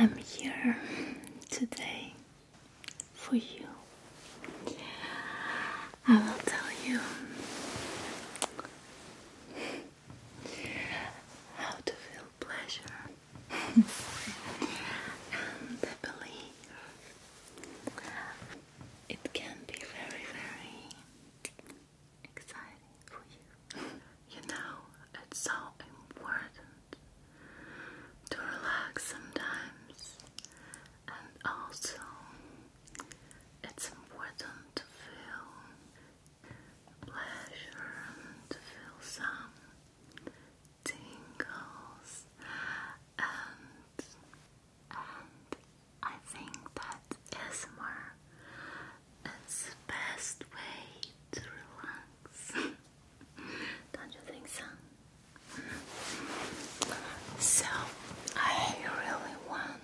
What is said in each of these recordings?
I'm here today for you. I will tell you how to feel pleasure and I believe it can be very very exciting for you. You know, it's so important to relax sometimes and also it's important to feel pleasure and feel some tingles and and I think that is ASMR is the best way to relax. Don't you think so? So I really want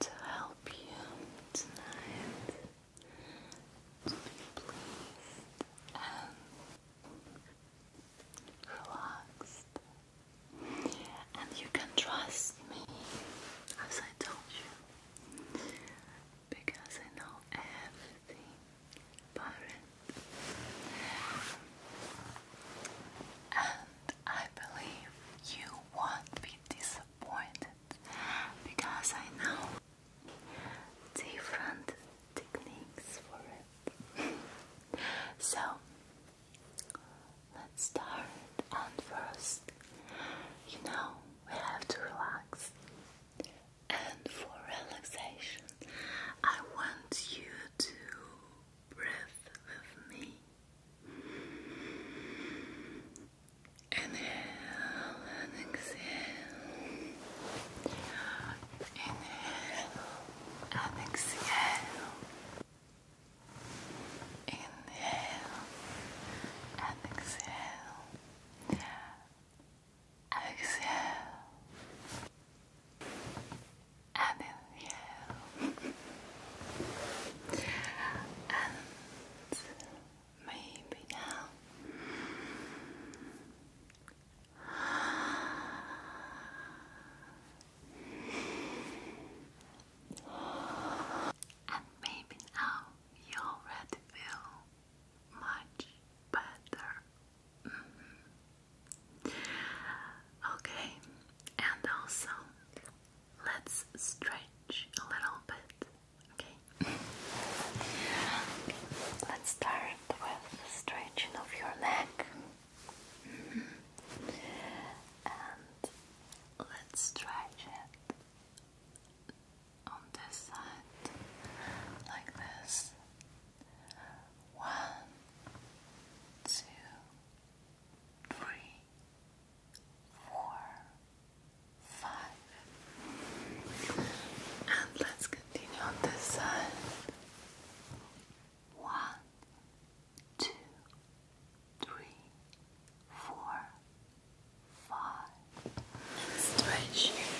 to help you tonight to and relaxed. And you can trust me, as I told you, because I know everything about And I believe you won't be disappointed disappointed because I know different techniques for it. so let's start. And first, you know, we have to relax. And for relaxation, I want you to breathe with me. Inhale and exhale. Inhale exhale. Inhale exhale. Exhale. inhale maybe now. And maybe now you already feel much better. Mm-hmm. Okay, and also let's stretch a little bit. Okay. Let's start with stretching of your neck. And let's stretch it on this side like this. One, two, three, four, five. And let's continue on this side. One, two, three, four, five. stretch your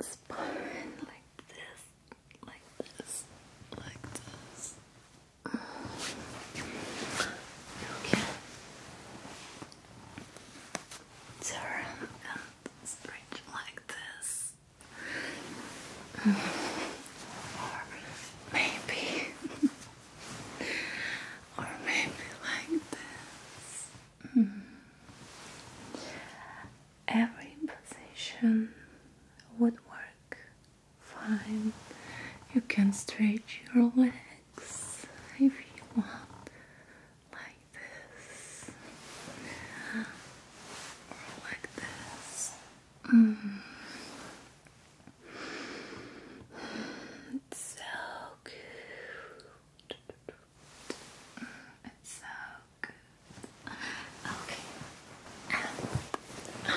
spine like this, like this, like this. Okay. Turn and stretch like this. Or maybe, or maybe like this. Every position would work Fine. You can stretch your legs if you want, like this, or like this. Mm. It's so good. It's so good. Okay. Uh,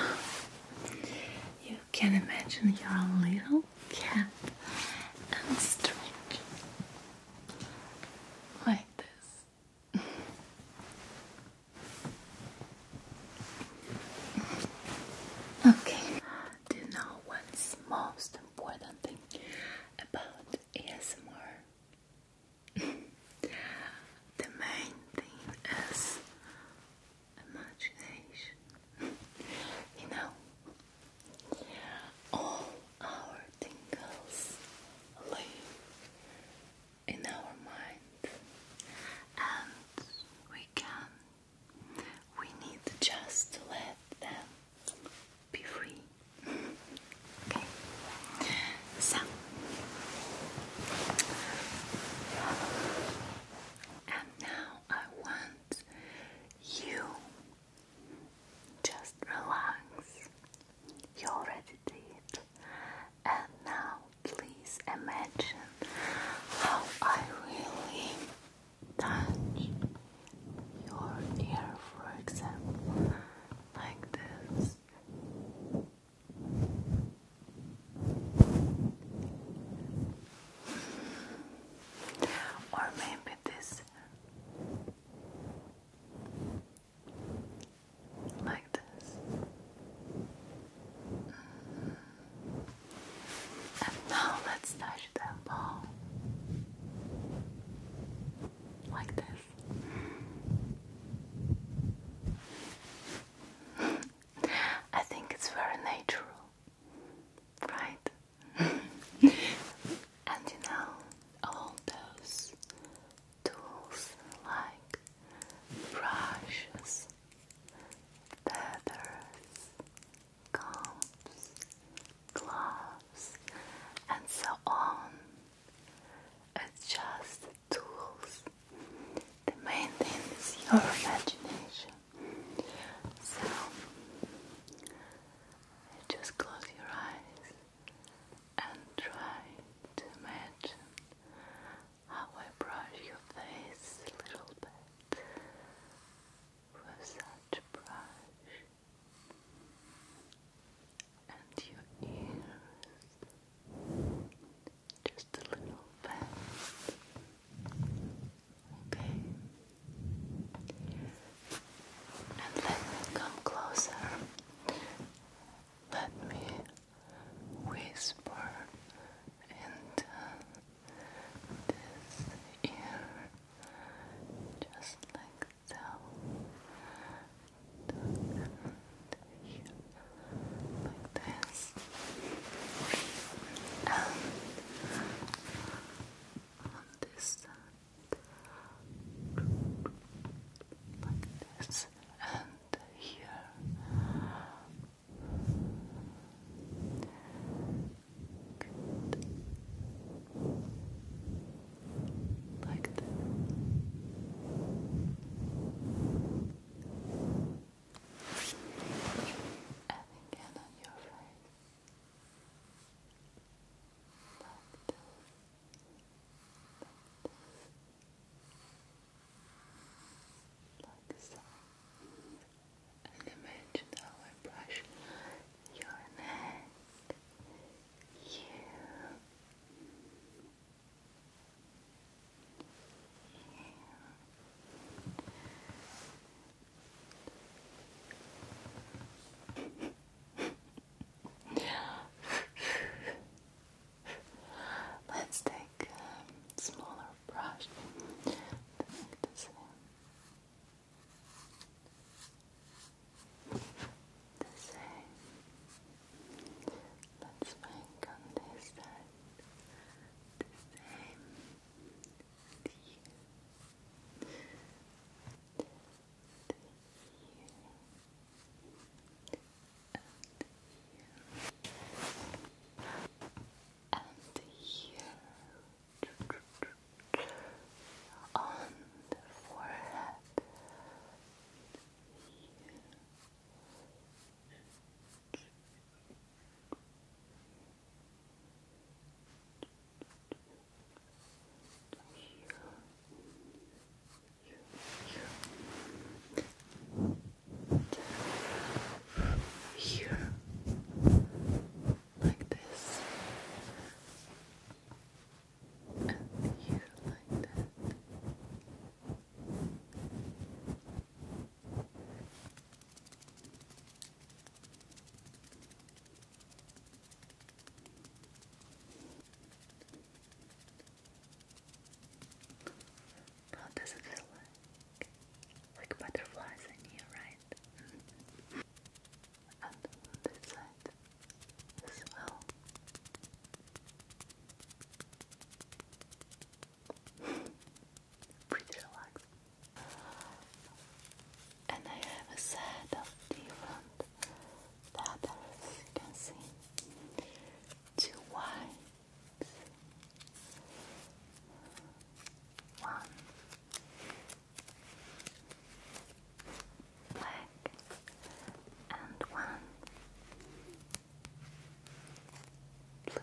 you can imagine your little cat and stretch like this. okay, do you know what's most important thing about ASMR? the main thing is imagination. you know, all our tingles live in our mind, and we can, we need just to let them be free. okay, so. And now I want you just relax. You already did. And now please imagine how I really touch your ear, for example, like this. Or maybe this like this mm. and now let's touch the ball like this I think it's very natural, right? and you know, all those tools like brushes, feathers, combs, gloves, and so on. It's just tools the main thing is your imagination. So just close your eyes and try to imagine how I brush your face a little bit with such brush and your ears. Just a little bit. Okay. And let me come closer. Let me whisper into this ear. Just like so like this. And on this side, like this, and here. Like that. And again on your face. Like this. Like this. And imagine how I brush your neck. You. Let's take a smaller brush to make The same. Let's make on this side the same the, the, and here on the forehead here, like this, and here, like that. How does it feel like? Like butterflies in here, right? and this side as well. Pretty relaxed. And I have a set of different letters, you can see. Two white, one black, and one blue.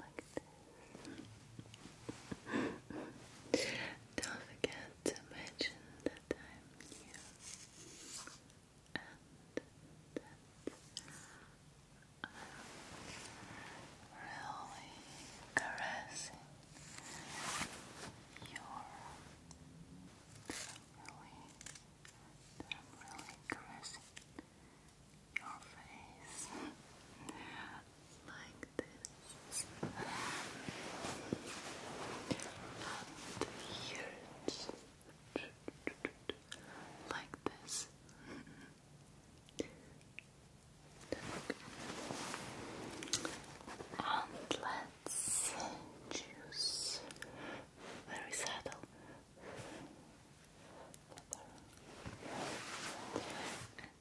Like this. Don't forget to mention that I'm new and that uh, I'm really caressing your really that I'm really caressing your face like this. And here like this. and let's choose very subtle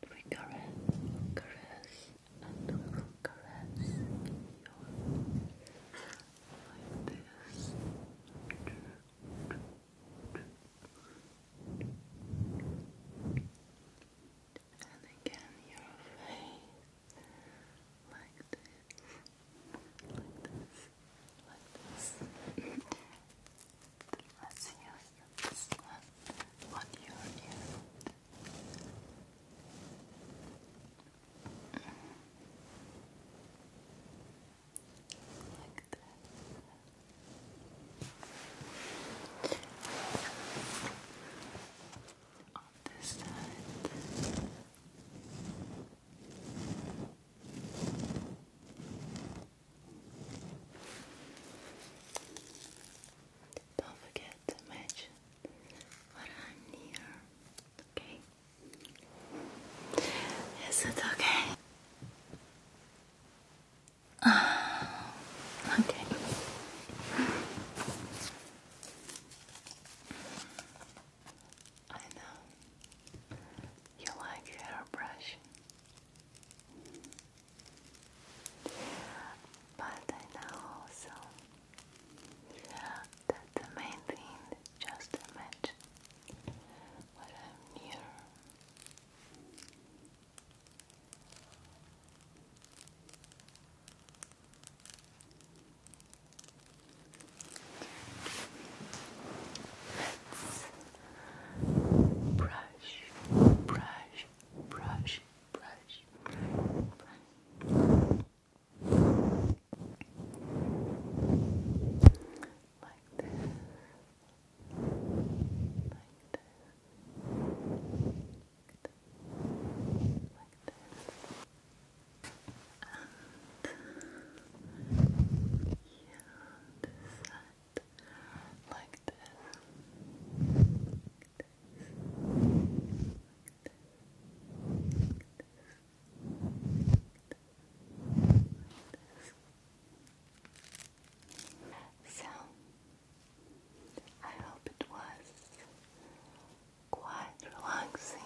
and we caress, caress, and we caress your like this. And again, your face like this like this, like this. Let's use this one on your Like that. On this side. Don't forget to match what I'm near, okay? Is it okay? Uh, okay. I know. You like your hairbrush. But I know also that the main thing is just imagine what I'm near. Let's brush, brush, brush, brush, brush, brush. Like this. Like this. Like this. Like this and you So, I hope it was quite relaxing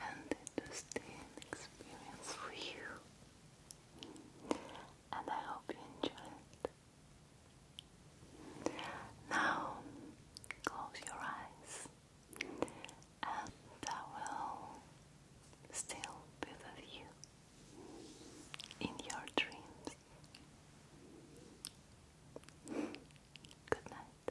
and it experience for you. And I hope you enjoy it. Now, close your eyes, and I will still be you in your dreams. Good night.